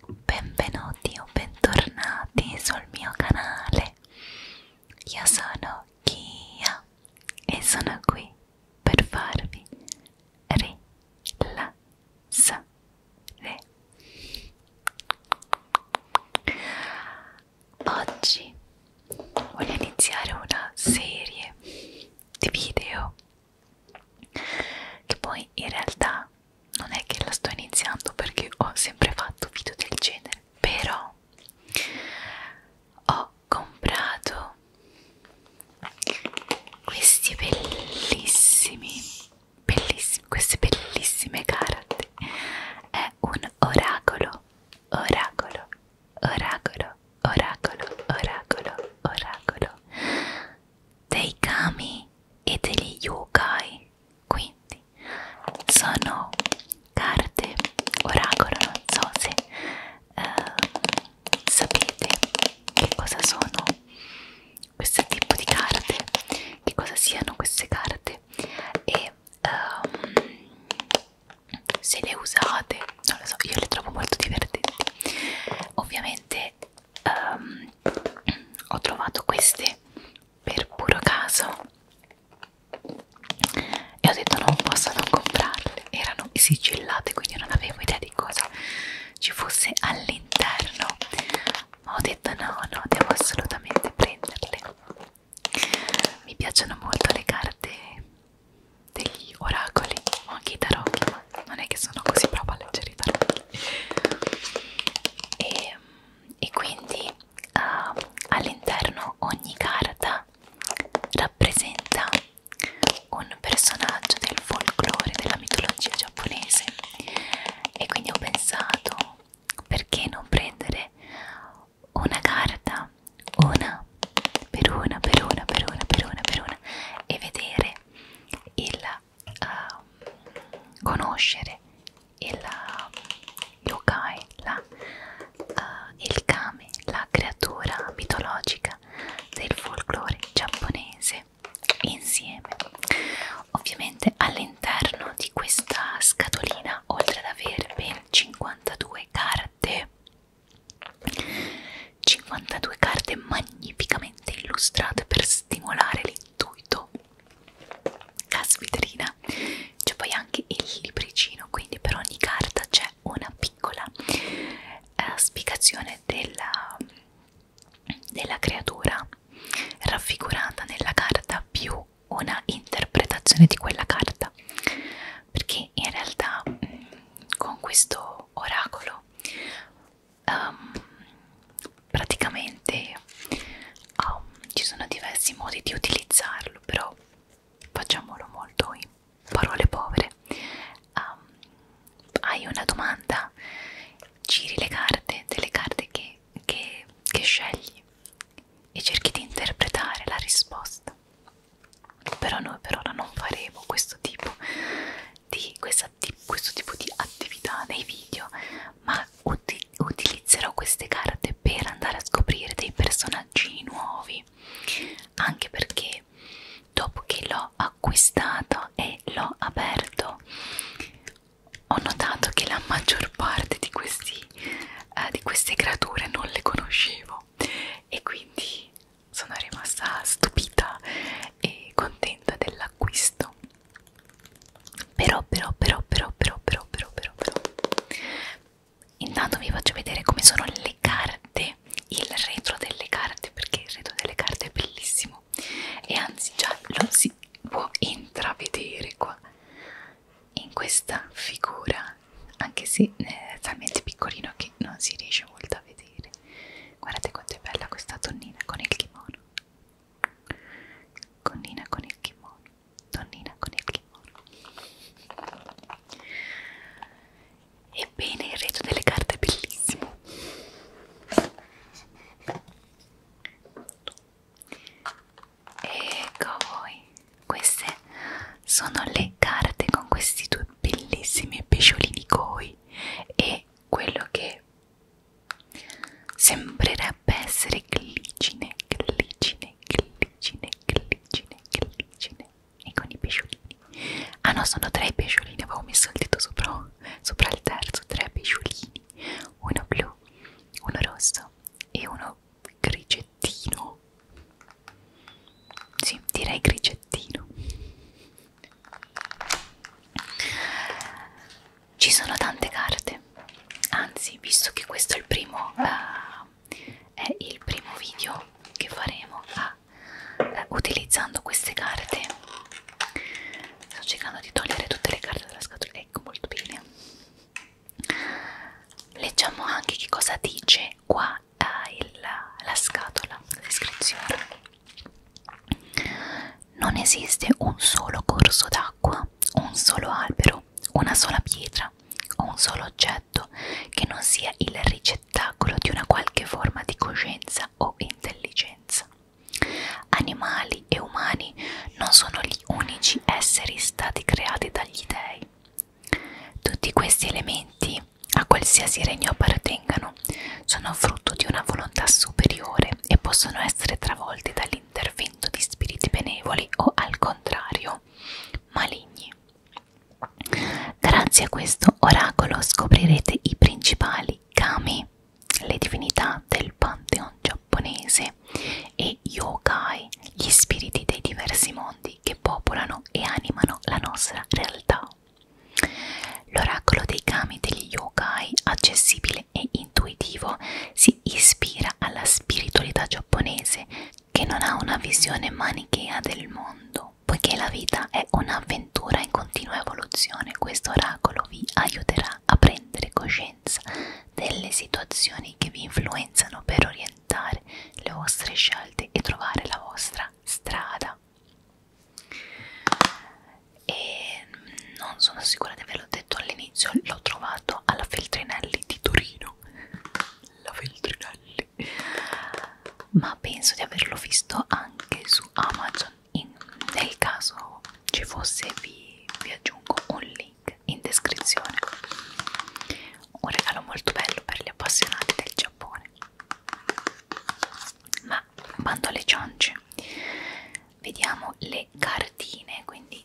Benvenuti o bentornati sul mio canale. Io sono Kia e sono qui per farvi rilassare. Oggi voglio iniziare una serie di video che poi in realtà non è che la sto iniziando perché ho sempre fatto video del genere però ho comprato questi bellissimi bellissimi queste bellissime carte è un oracolo oracolo oracolo oracolo oracolo oracolo dei kami e degli yokai quindi sono carte oracolo, non so se uh, sapete che cosa sono questo tipo di carte, che cosa siano queste carte e um, se le usate, non lo so, io le trovo molto divertenti. Ovviamente um, ho trovato queste per puro caso e ho detto non posso non comprarle erano sigillate quindi non avevo idea di cosa ci fosse all'interno ma ho detto no no devo assolutamente prenderle mi piacciono molto le carte degli oracoli o anche i tarocchi ma non è che sono così brava a leggere i tarocchi e e quindi uh, all'interno ogni carta rappresenta un personaggio del folklore della mitologia giapponese e quindi ho pensato perché non prendere una carta una per una per una per una per una per una e vedere il uh, conoscere il yokai, la, uh, il kame, la creatura mitologica del folklore giapponese insieme. Ovviamente all'interno di questa scatolina, oltre ad avere ben 52 carte, 52 carte magnificamente illustrate per stimolare l'intuito caspiterina c'è poi anche il libricino quindi per ogni carta c'è una piccola eh, spiegazione della, della creatura raffigurata nella carta più una interpretazione di quella carta perché in realtà mm, con questo oracolo um, praticamente um, ci sono diversi modi di utilizzarlo però facciamolo molto in parole povere um, hai una domanda giri le carte delle carte che, che, che scegli e cerchi di interpretare la risposta però noi per ora non faremo questo tipo di, questa, di, questo tipo di attività nei video ma uti utilizzerò queste carte per andare a scoprire dei personaggini nuovi anche perché dopo che l'ho acquistato e l'ho aperto ho notato che la maggior parte di, questi, eh, di queste creature non le conoscevo e quindi sono rimasta stupita e contenta dell'acquisto però però però però però però però però però intanto vi faccio vedere come sono le carte il retro delle carte perché il retro delle carte è bellissimo e anzi già lo si può intravedere qua in questa figura anche se è eh, talmente piccolino che non si riesce molto a vedere guardate quanto è bella questa tonnina con il kimono Connina con il kimono, donnina con il kimono. Ebbene, il reggio delle carte è bellissimo. Ecco voi, queste sono le carte con questi due bellissimi pesciolini koi e quello che Sembrerebbe essere glicine, glicine, glicine, glicine, glicine e con i pesciolini. Ah no, sono tre pesciolini, avevo messo il dito sopra, sopra il terzo, tre pesciolini, uno blu, uno rosso e uno grigettino. Sì, direi grigettino ci sono tante carte anzi visto che questo è il primo uh, è il primo video che faremo uh, uh, utilizzando queste carte sto cercando di togliere tutte le carte dalla scatola ecco molto bene leggiamo anche che cosa dice qua uh, il, la scatola la descrizione non esiste un solo corso d'acqua un solo albero, una sola pietra o un solo oggetto che non sia il ricettacolo di una qualche forma di coscienza o intelligenza. Animali e umani non sono gli unici esseri stati creati dagli dei. Tutti questi elementi, a qualsiasi regno appartengano, sono frutto di una volontà superiore e possono essere travolti dal all'intervento di spiriti benevoli o al contrario maligni. Grazie a questo oracolo scoprirete i principali kami, le divinità del pantheon giapponese e yokai, gli spiriti dei diversi mondi che popolano e animano la nostra realtà. L'oracolo dei kami degli yokai, accessibile facile e intuitivo si ispira alla spiritualità giapponese che non ha una visione manichea del mondo, poiché la vita è un'avventura in continua evoluzione, questo oracolo vi aiuterà a prendere coscienza delle situazioni che vi influenzano per orientare le vostre scelte e trovare la vostra strada. E non sono sicura di averlo detto all'inizio, l'ho trovato trovato alla Feltrinelli di Torino la Feltrinelli ma penso di averlo visto anche su Amazon in, nel caso ci fosse vi, vi aggiungo un link in descrizione un regalo molto bello per gli appassionati del Giappone ma bando alle ciance vediamo le cartine quindi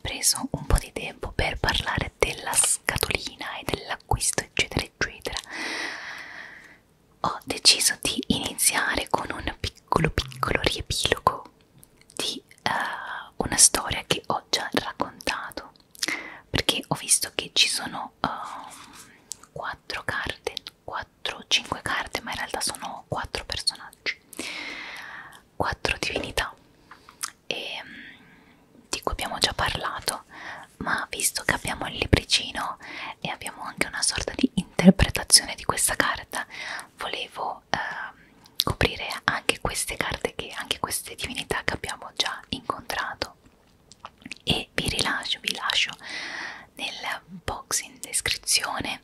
preso un po' di tempo per parlare della scatolina e dell'acquisto eccetera eccetera ho deciso di iniziare con un piccolo piccolo riepilogo di uh, una storia che ho già raccontato perché ho visto che ci sono ehm, uh, 4 carte 4 o 5 carte ma in realtà sono 4 personaggi quattro divinità e mm, di cui abbiamo già parlato ma visto che abbiamo il libricino e abbiamo anche una sorta di interpretazione di questa carta volevo eh, coprire anche queste carte che anche queste divinità che abbiamo già incontrato e vi rilascio vi lascio nel box in descrizione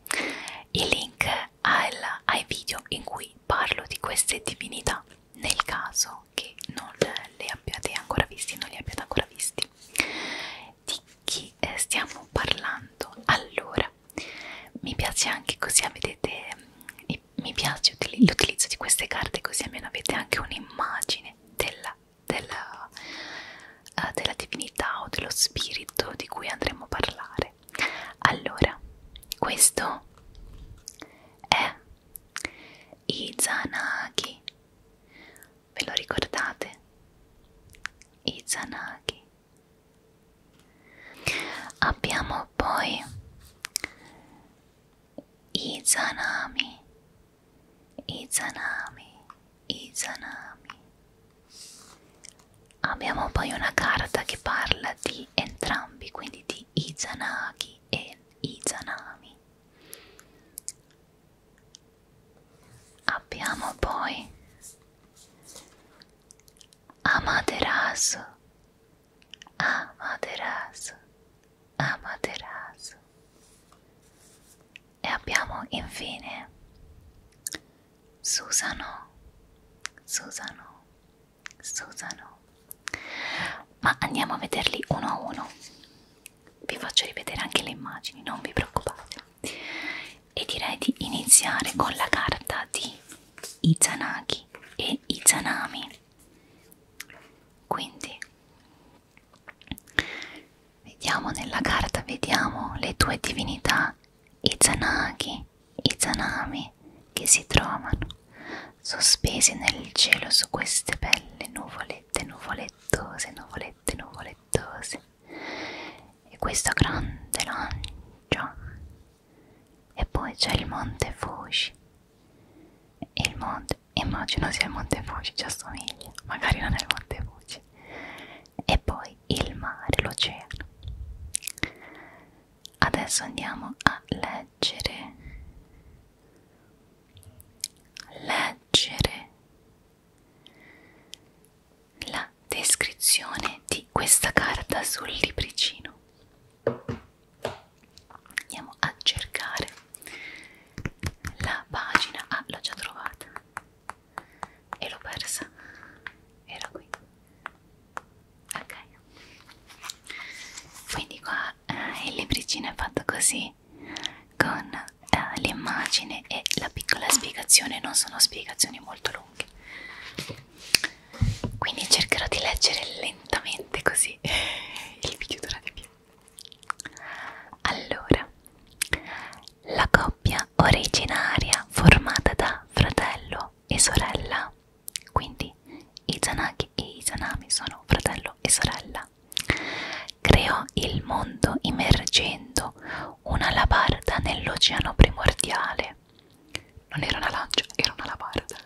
i link al, ai video in cui parlo di queste divinità nel caso che non le abbiate ancora visti non li abbiate ancora visti di chi eh, stiamo parlando allora mi piace anche così avete mi piace l'utilizzo di queste carte così almeno avete anche un'immagine della, della, uh, della divinità o dello spirito di cui andremo a parlare niente allora questo è Izanagi ve lo ricordate? Izanagi abbiamo poi Izanami Izanami Izanami Abbiamo poi una carta che parla di entrambi, quindi di Izanagi e Izanami. Abbiamo poi Amaterasu, Amaterasu, Amaterasu. E abbiamo infine Susano, Susano, Susano. Ma andiamo a vederli uno a uno. Vi faccio rivedere anche le immagini, non vi preoccupate. E direi di iniziare con la carta di Izanagi e Izanami. Quindi vediamo nella carta, vediamo le due divinità Izanagi i zanami che si trovano sospesi nel cielo su queste belle nuvolette nuvolettose, nuvolette nuvolettose e questo grande lancio e poi c'è il monte Fuji il monte immagino sia il monte Fuji ci assomiglia magari non è il monte Fuji e poi il mare, l'oceano. Adesso andiamo a leggere. Leggere la descrizione di questa carta sul libricino. Andiamo a cercare la pagina. Ah, l'ho già trovata e l'ho persa era qui ok quindi qua eh, il libricino è fatto così con eh, l'immagine e la piccola spiegazione non sono spiegazioni molto lunghe quindi cercherò di leggere lentamente così il video dura di più allora la coppia originaria formata da fratello e sorella, quindi Izanagi e Izanami sono fratello e sorella. Creò il mondo immergendo una labarda nell'oceano primordiale. Non era una lancia, era una labarda.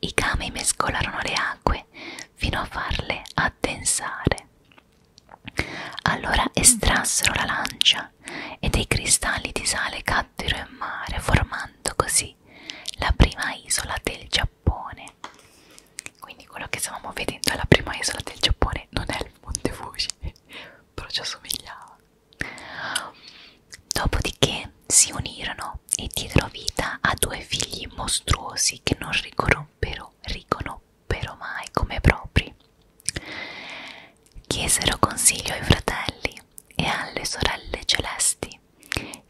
I kami mescolarono le acque fino a farle addensare. Allora estrassero la lancia acqua e dei cristalli di sale caddero in mare, formando così la prima isola del Giappone. Quindi quello che stavamo vedendo è la prima isola del Giappone, non è il Monte Fuji, però ci assomigliava. Dopodiché si unirono e diedero vita a due figli mostruosi che non riconobbero, riconobbero mai come propri. Chiesero consiglio ai fratelli e alle sorelle celesti,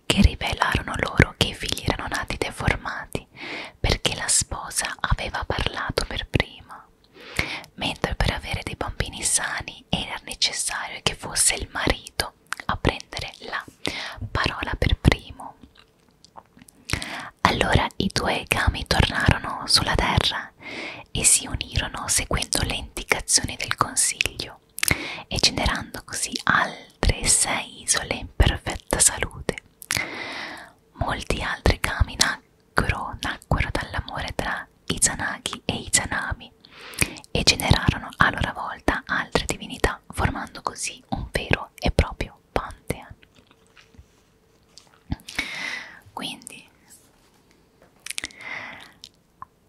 che rivelarono loro che i figli erano nati deformati perché la sposa aveva parlato per prima, mentre per avere dei bambini sani era necessario che fosse il marito a prendere la parola per primo. Allora i due gami tornarono sulla terra e si unirono seguendo le indicazioni del Consiglio e generando così altre sei isole in perfetta salute. Molti altri kami nacquero, nacquero dall'amore tra Izanagi e Izanami e generarono a loro volta altre divinità, formando così un vero e proprio pantheon quindi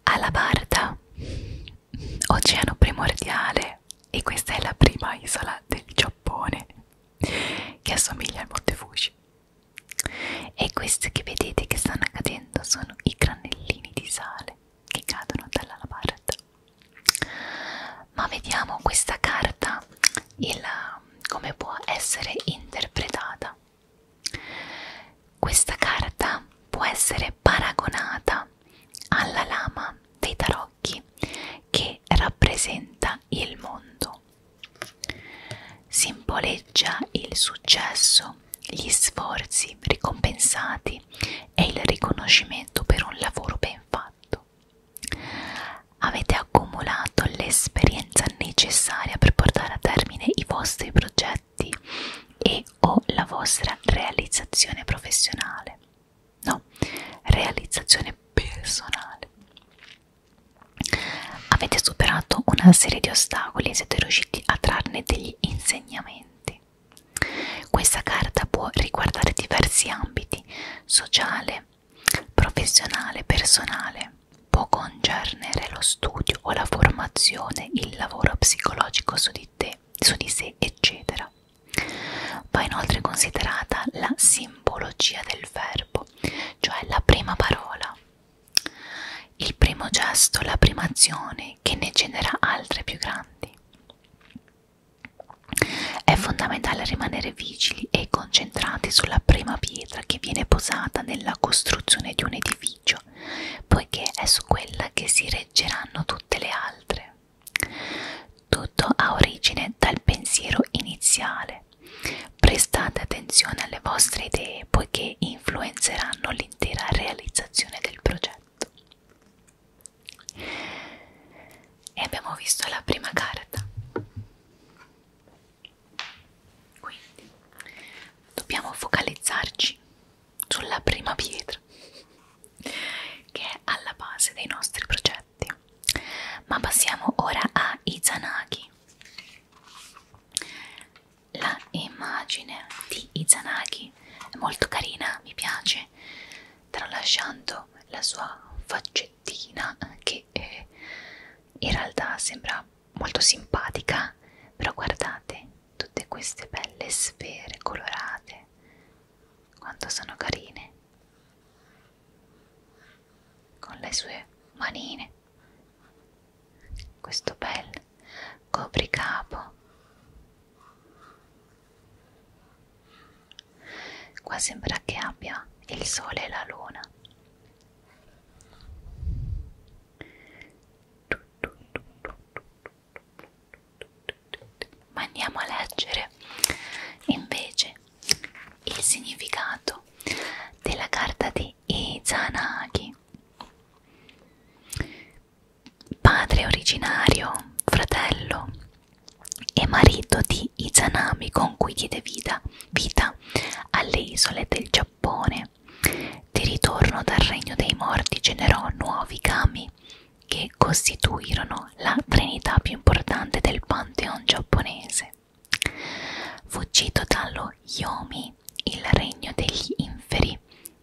Alabarda oceano primordiale e questa è la prima isola del Giappone che assomiglia al Monte Fuji e questi che vedete che stanno cadendo sono i granellini di sale che cadono dall'alabarda ma vediamo questa carta il, come può essere interpretata questa carta può essere paragonata alla lama dei tarocchi che rappresenta il mondo. Simboleggia il successo, gli sforzi ricompensati e il riconoscimento per un lavoro ben fatto avete accumulato l'esperienza necessaria per portare a termine i vostri progetti e o la vostra realizzazione professionale. No, realizzazione personale. Avete superato una serie di ostacoli e siete riusciti a trarne degli insegnamenti. Questa carta può riguardare diversi ambiti, sociale, professionale, personale, può concernere lo studio o la formazione, il lavoro psicologico su di, te, su di sé, eccetera. Va inoltre considerata la simbologia del verbo, cioè la prima parola, il primo gesto, la prima azione che ne genera altre più grandi. È fondamentale rimanere vigili e concentrati sulla prima pietra che viene posata nella costruzione di un edificio, poiché è su quella che si reggeranno tutte le altre. Tutto ha origine dal pensiero iniziale. Prestate attenzione alle vostre idee poiché influenzeranno l'intera realizzazione del progetto. E abbiamo visto la prima carta quindi dobbiamo focalizzarci sulla prima pietra che è alla base dei nostri progetti ma passiamo ora a Izanagi la immagine di Izanagi è molto carina mi piace tralasciando la sua faccettina che eh, in realtà sembra molto simpatica, però guardate tutte queste belle sfere colorate, quanto sono carine, con le sue manine, questo bel copricapo, qua sembra che abbia il sole e la luna ma andiamo a leggere invece il significato della carta di Izanagi. Padre originario, fratello e marito di Izanami con cui diede vita, vita Giapponiana, alle isole del Giappone. Di ritorno dal regno dei morti generò nuovi kami che costituirono la trinità più importante del pantheon giapponese. Fuggito dallo Yomi, il regno degli inferi,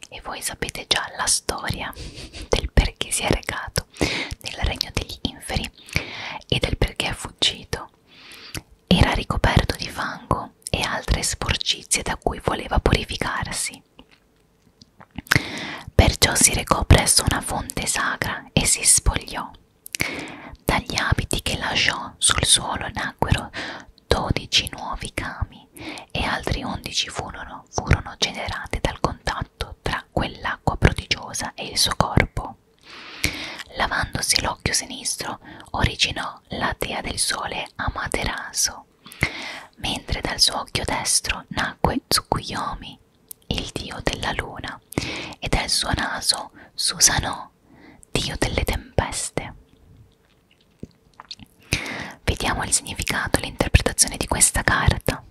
e voi sapete già la storia del perché si è recato nel regno degli inferi e del perché è fuggito. Era ricoperto di fango e altre sporcizie da cui voleva purificarsi. Perciò si recò presso una fonte sacra e si spogliò. Dagli abiti che lasciò sul suolo nacquero dodici nuovi cami e altri undici furono, furono generati dal contatto tra quell'acqua prodigiosa e il suo corpo. Lavandosi l'occhio sinistro originò la dea del sole Amaterasu, mentre dal suo occhio destro nacque Tsukuyomi, il dio della luna, e dal suo naso Susanoo, dio delle tempeste. Vediamo il significato e l'interpretazione di questa carta.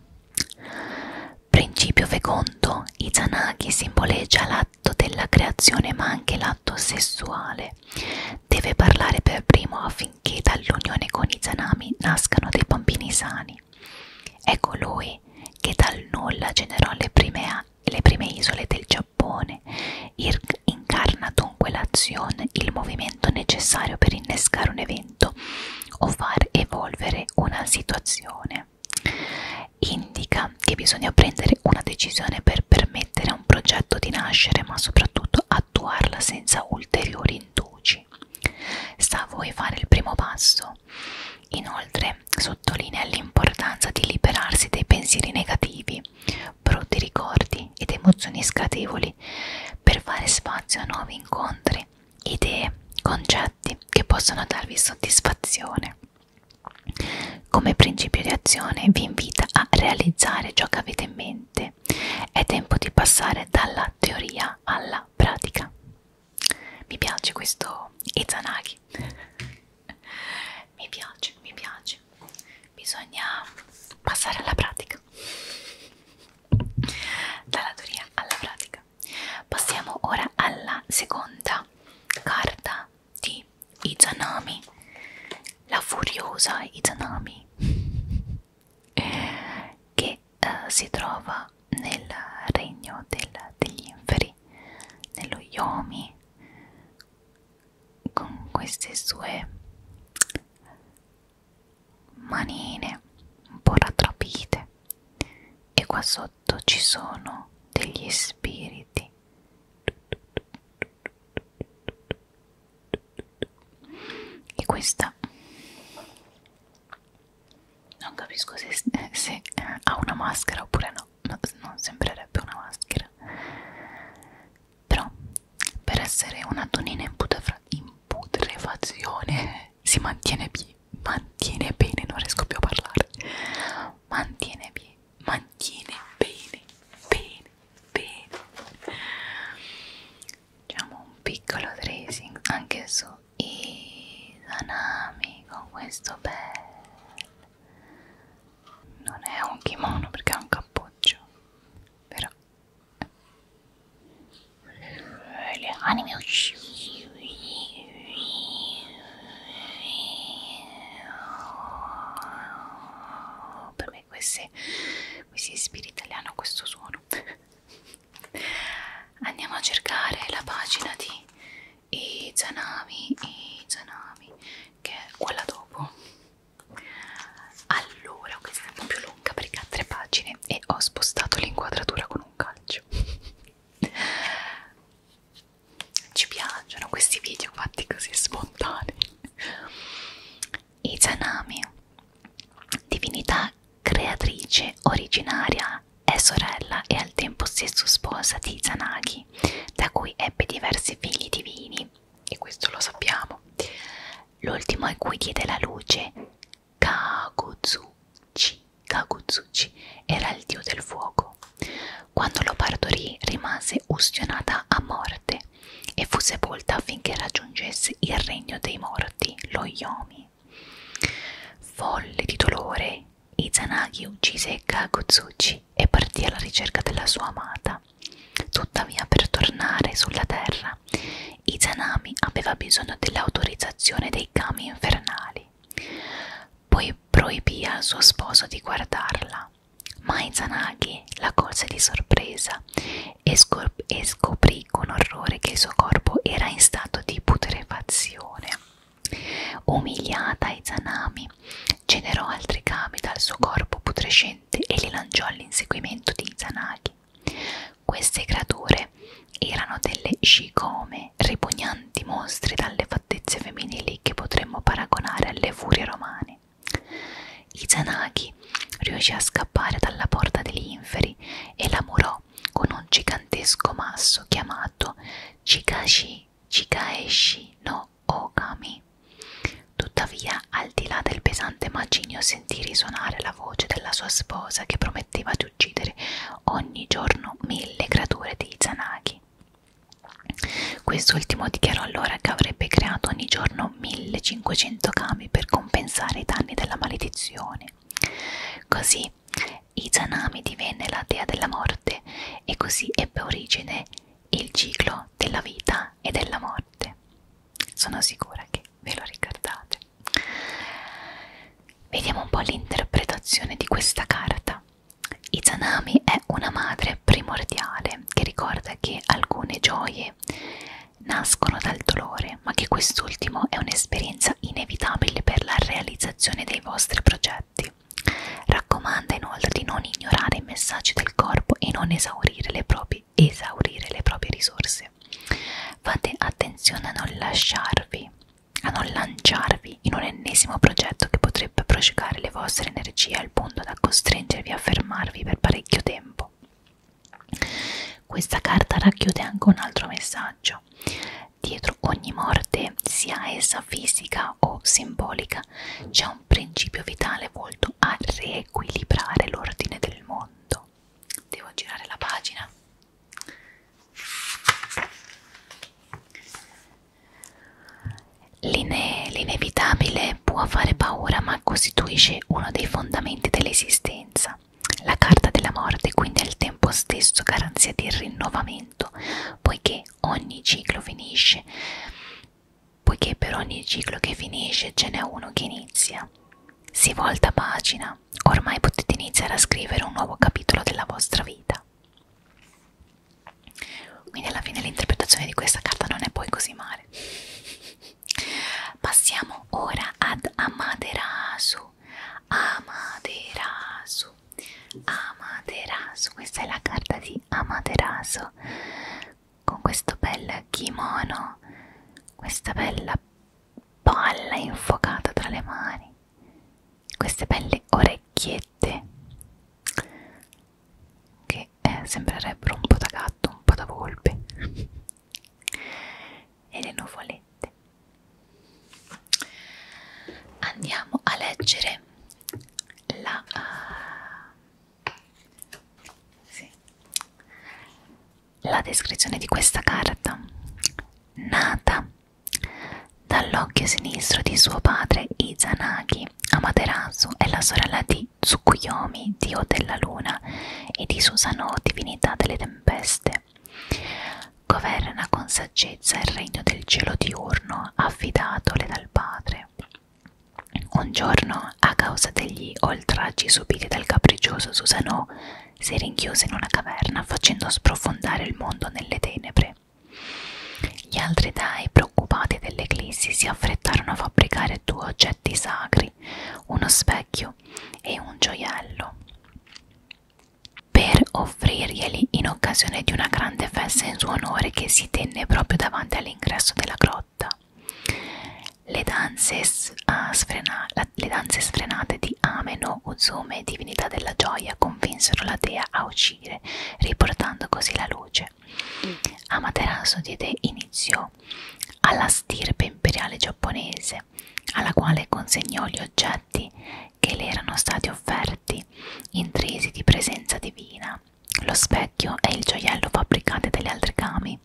Principio fecondo, Izanagi simboleggia la l'atto della creazione ma anche l'atto sessuale. Deve parlare per primo affinché dall'unione con i zanami nascano dei bambini sani. È colui ecco che dal nulla generò le prime, le prime isole del Giappone, Ir incarna dunque l'azione, il movimento necessario per innescare un evento o far evolvere una situazione decisione indica che bisogna prendere una decisione per permettere a un progetto di nascere ma soprattutto attuarla senza ulteriori indugi sta a voi fare il primo passo inoltre sottolinea l'importanza di liberarsi dei pensieri negativi brutti ricordi ed emozioni scatevoli per fare spazio a nuovi incontri idee concetti che possono darvi soddisfazione come principio di azione vi invita a realizzare ciò che avete in mente. È tempo di passare dalla teoria alla pratica. Mi piace questo Izanagi. mi piace, mi piace. Bisogna passare alla pratica. Dalla teoria alla pratica. Passiamo ora alla seconda carta di Izanami, la furiosa Izanami, che uh, si trova nel regno del, degli inferi, nello Yomi, con queste sue manine un po' rattrapite e qua sotto sotto ci sono degli spiriti e questa non capisco se, se ha una maschera oppure no, no non sembrerebbe una maschera però per essere una tonina in, in putrefazione si mantiene, mantiene bene non riesco più a parlare no, mantiene bene, mantiene bene, bene, bene. Facciamo un piccolo tracing anche su i Zanami con questo bel. Non è un kimono perché è un cappuccio, però. Le anime uscite per me questi, questi spiriti hanno questo suono andiamo a cercare la pagina di Izanami Izanami che è quella dopo allora questa è un po' più lunga perché ha tre pagine e ho spostato l'inquadratura con un calcio ci piacciono questi video fatti così spontanei Izanami divinità creatrice originaria è sorella e al tempo stesso sposa di Izanagi da cui ebbe diversi figli divini e questo lo sappiamo l'ultimo a cui diede la luce Kaguzuchi Kaguzuchi era il dio del fuoco quando lo partorì rimase ustionata a morte e fu sepolta affinché raggiungesse il regno dei morti, lo Yomi. Folle di dolore, Izanagi uccise Kagutsuchi e partì alla ricerca della sua amata. Tuttavia, per tornare sulla terra, Izanami aveva bisogno dell'autorizzazione dei kami infernali. Poi Izanagi proibì al suo sposo di guardarla, ma Izanagi la colse di sorpresa e, e scoprì con orrore che il suo corpo era in stato di putrefazione. Umiliata Izanami generò altri kami dal suo corpo putrescente e li lanciò all'inseguimento di Izanagi. Queste creature erano delle shikome ripugnanti mostri dalle fattezze femminili che potremmo paragonare alle furie romane. Izanagi riuscì a scappare dalla porta degli inferi e la murò con un gigantesco masso chiamato Chikashi Chikaeshi no Okami. Tuttavia, al di là del pesante macigno, sentì risuonare la voce della sua sposa che prometteva di uccidere ogni giorno mille creature di Izanagi. Quest'ultimo dichiarò allora che avrebbe creato ogni giorno 1500 kami per compensare i danni della maledizione. Così Izanami divenne la dea della morte e così ebbe origine il ciclo della vita e della morte. Sono sicura che ve lo ricordate. Vediamo un po' l'interpretazione di questa carta. Izanami è una madre primordiale che ricorda che alcune gioie nascono dal dolore, ma che quest'ultimo è un'esperienza inevitabile per la realizzazione dei vostri progetti. Raccomanda inoltre di non ignorare i messaggi del corpo e non esaurire le proprie, esaurire le proprie risorse. Fate attenzione a non lasciarvi a non lanciarvi in un ennesimo progetto che potrebbe prosciugare le vostre energie al punto da costringervi a fermarvi per parecchio tempo. Questa carta racchiude anche un altro messaggio. Dietro ogni morte, sia essa fisica o simbolica, c'è un principio vitale volto a riequilibrare l'ordine del mondo. Devo girare la pagina. L'ine- l'inevitabile può fare paura ma costituisce uno dei fondamenti dell'esistenza. La carta della morte quindi è al tempo stesso garanzia di rinnovamento, poiché ogni ciclo finisce, poiché per ogni ciclo che finisce ce n'è uno che inizia. Si volta pagina, ormai potete iniziare a scrivere un nuovo capitolo della vostra vita. Quindi alla fine l'interpretazione di questa carta non è poi così male. Passiamo ora ad Amaterasu. Amaterasu. Amaterasu. Questa è la carta di Amaterasu. Con questo bel kimono. Questa bella palla infuocata tra le mani. Queste belle orecchie ghette che eh, sembrerebbero un po' da gatto, un po' da volpe e le nuvolette andiamo a leggere la uh, sì. la descrizione di questa carta nata Dall'occhio sinistro di suo padre Izanagi, Amaterasu è la sorella di Tsukuyomi, dio della luna, e di Susanoo, divinità delle tempeste. Governa con saggezza il regno del cielo diurno affidatole dal padre. Un giorno, a causa degli oltraggi subiti dal capriccioso Susanoo, si rinchiuse in una caverna facendo sprofondare il mondo nelle tenebre. Gli altri dei, preoccupati dell'eclissi, si affrettarono a fabbricare due oggetti sacri, uno specchio e un gioiello, per offrirglieli in occasione di una grande festa in suo onore che si tenne proprio davanti all'ingresso della grotta. Le danze, uh, sfrena le danze sfrenate di Ameno, Uzume, divinità della gioia, convinsero la dea a uccidere uscire, riportando così la luce. Mm. Amaterasu diede inizio alla stirpe imperiale giapponese, alla quale consegnò gli oggetti che le erano stati offerti, intrisi di presenza divina, lo specchio e il gioiello fabbricati dagli altrigami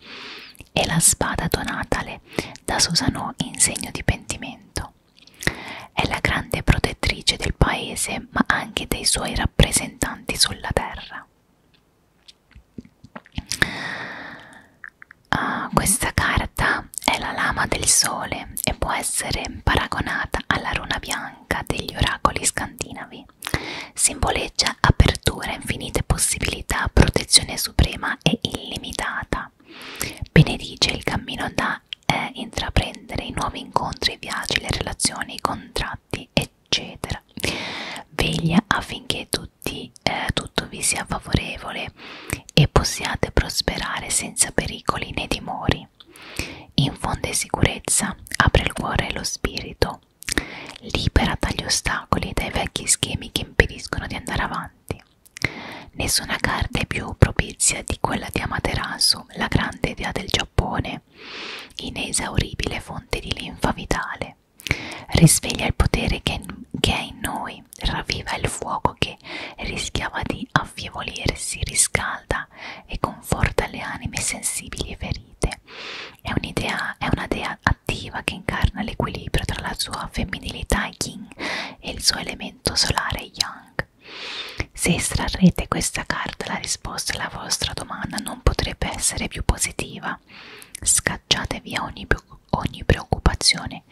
e la spada donatale da Susanoo in segno di pentimento. È la grande protettrice del paese ma anche dei suoi rappresentanti sulla terra. Uh, questa carta è la lama del sole e può essere paragonata alla runa bianca degli oracoli scandinavi. Simboleggia apertura, infinite possibilità, protezione suprema e illimitata. Benedice il cammino da eh, intraprendere i nuovi incontri, i viaggi, le relazioni, i contratti, eccetera. Veglia affinché tutti, eh, tutto vi sia favorevole e possiate prosperare senza pericoli né timori. Infonde sicurezza, apre il cuore e lo spirito, libera dagli ostacoli e dai vecchi schemi che impediscono di andare avanti. Nessuna carta è più propizia di quella di Amaterasu insomma la grande idea del Giappone, inesauribile fonte di linfa vitale, risveglia il potere che, che è in noi, ravviva il fuoco che rischiava di affievolirsi, riscalda e conforta le anime sensibili e ferite. È, è una dea attiva che incarna l'equilibrio tra la sua femminilità yin e il suo elemento solare yang. Jack. Ecco. Se estrarrete questa carta la risposta alla vostra domanda non potrebbe essere più positiva. Scacciate via ogni, ogni preoccupazione,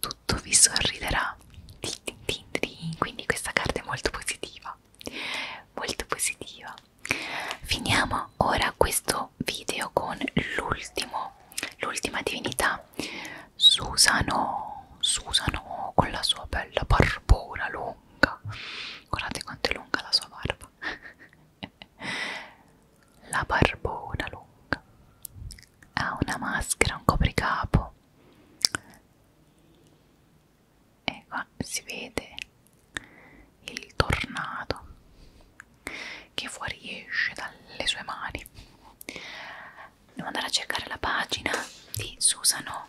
tutto vi sorriderà. Quindi questa carta è molto positiva, molto positiva. Finiamo ora questo video con l'ultimo, l'ultima divinità, Susano, Susano con la sua bella barbona lunga guardate quanto è lunga la sua barba la barbona lunga ha una maschera, un copricapo e qua si vede il tornado che fuoriesce dalle sue mani devo andare a cercare la pagina di Susano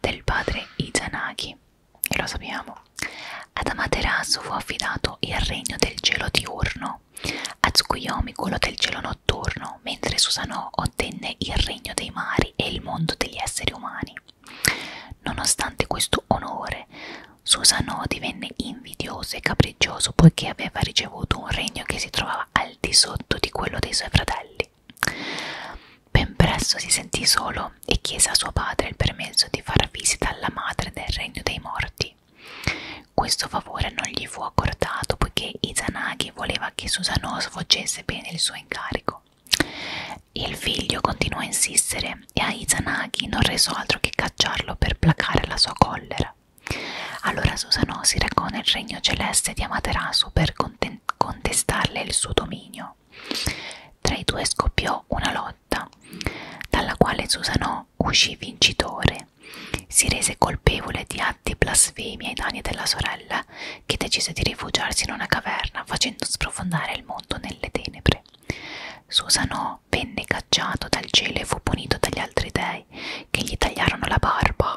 del padre Izanagi e lo sappiamo. Ad Amaterasu fu affidato il regno del cielo diurno, a Tsukuyomi quello del cielo notturno, mentre Susanoo ottenne il regno dei mari e il mondo degli esseri umani. Nonostante questo onore, Susanoo divenne invidioso e capriccioso poiché aveva ricevuto un regno che si trovava al di sotto di quello dei suoi fratelli. Ben presto si sentì solo e chiese a suo padre il permesso di far visita alla madre del regno dei morti. Questo favore non gli fu accordato poiché Izanagi voleva che Susanoo svolgesse bene il suo incarico. Il figlio continuò a insistere e a Izanagi non resò altro che cacciarlo per placare la sua collera. Allora Susanoo si recò nel regno celeste di Amaterasu per contemplare contestarle il suo dominio. Tra i due scoppiò una lotta, dalla quale Susanò uscì vincitore. Si rese colpevole di atti blasfemi ai danni della sorella, che decise di rifugiarsi in una caverna, facendo sprofondare il mondo nelle tenebre. Susanò venne cacciato dal cielo e fu punito dagli altri dei, che gli tagliarono la barba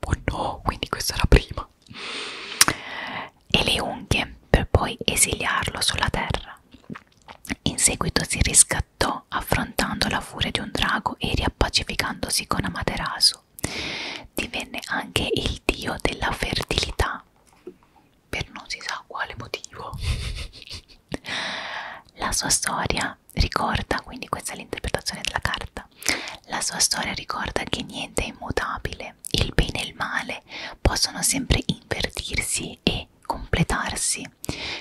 oh no, quindi questa è la prima e le unghie per poi esiliarlo sulla terra in seguito si riscattò affrontando la furia di un drago e riappacificandosi con Amaterasu divenne anche il dio della fertilità per non si sa quale motivo la sua storia ricorda quindi questa è l'interpretazione della carta volta. La sua storia ricorda che niente è immutabile, il bene e il male possono sempre invertirsi e completarsi.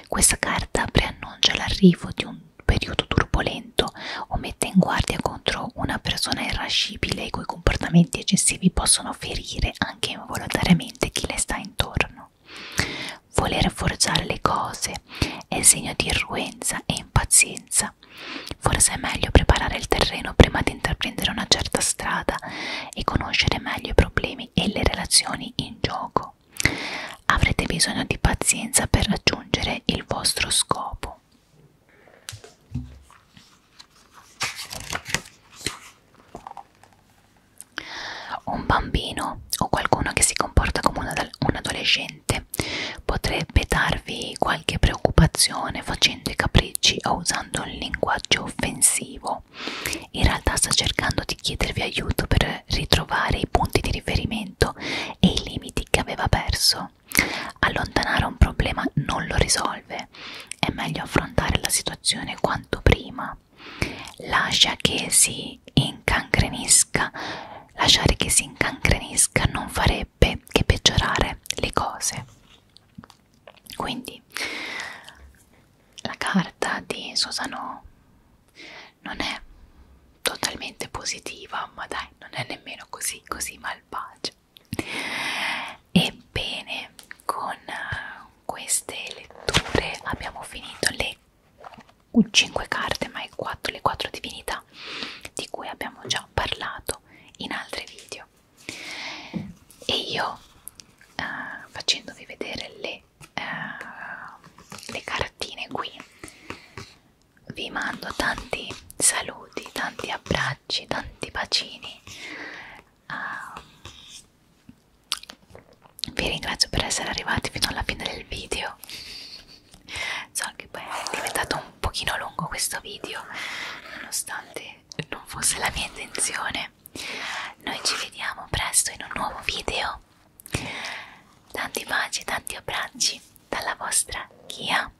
Questa carta preannuncia l'arrivo di un periodo turbolento o mette in guardia contro una persona irascibile i cui comportamenti eccessivi possono ferire anche involontariamente chi le sta intorno. Voler forgiare le cose è segno di irruenza e impazienza, strada. Forse è meglio preparare il terreno prima di intraprendere una certa strada e conoscere meglio i problemi e le relazioni in gioco. Avrete bisogno di pazienza per raggiungere il vostro scopo. Un bambino o qualcuno che si comporta come un adolescente potrebbe darvi qualche preoccupazione facendo i capricci o usando un linguaggio offensivo. In realtà sta cercando di chiedervi aiuto per ritrovare i punti di riferimento e i limiti che aveva perso. Allontanare un problema non lo risolve, è meglio affrontare la situazione quanto prima. Lascia che si incancrenisca, lasciare che si incancrenisca non farebbe farebbe che peggiorare le cose. Quindi la carta di Susano non è totalmente positiva, ma dai, non è nemmeno così, così malvagia. Ebbene, con queste letture abbiamo finito le 5 carte, ma è 4, le 4 divinità realtà di cui abbiamo già parlato in altri video e io eh, facendovi vedere le, eh, le cartine qui vi mando tanti saluti, tanti abbracci, tanti bacini uh, vi ringrazio per essere arrivati fino alla fine del video so che poi è diventato un pochino lungo questo video nonostante non fosse la mia intenzione noi ci vediamo presto in un nuovo video tanti baci tanti abbracci dalla vostra Kia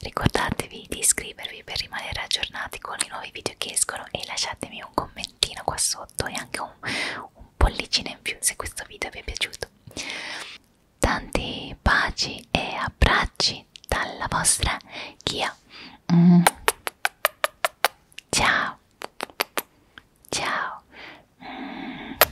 ricordatevi di iscrivervi per rimanere aggiornati con i nuovi video che escono e lasciatemi un commentino qua sotto e anche un, un pollicino in più se questo video vi è piaciuto tanti baci e abbracci dalla vostra Kia. Mm. Ciao, ciao. Mm.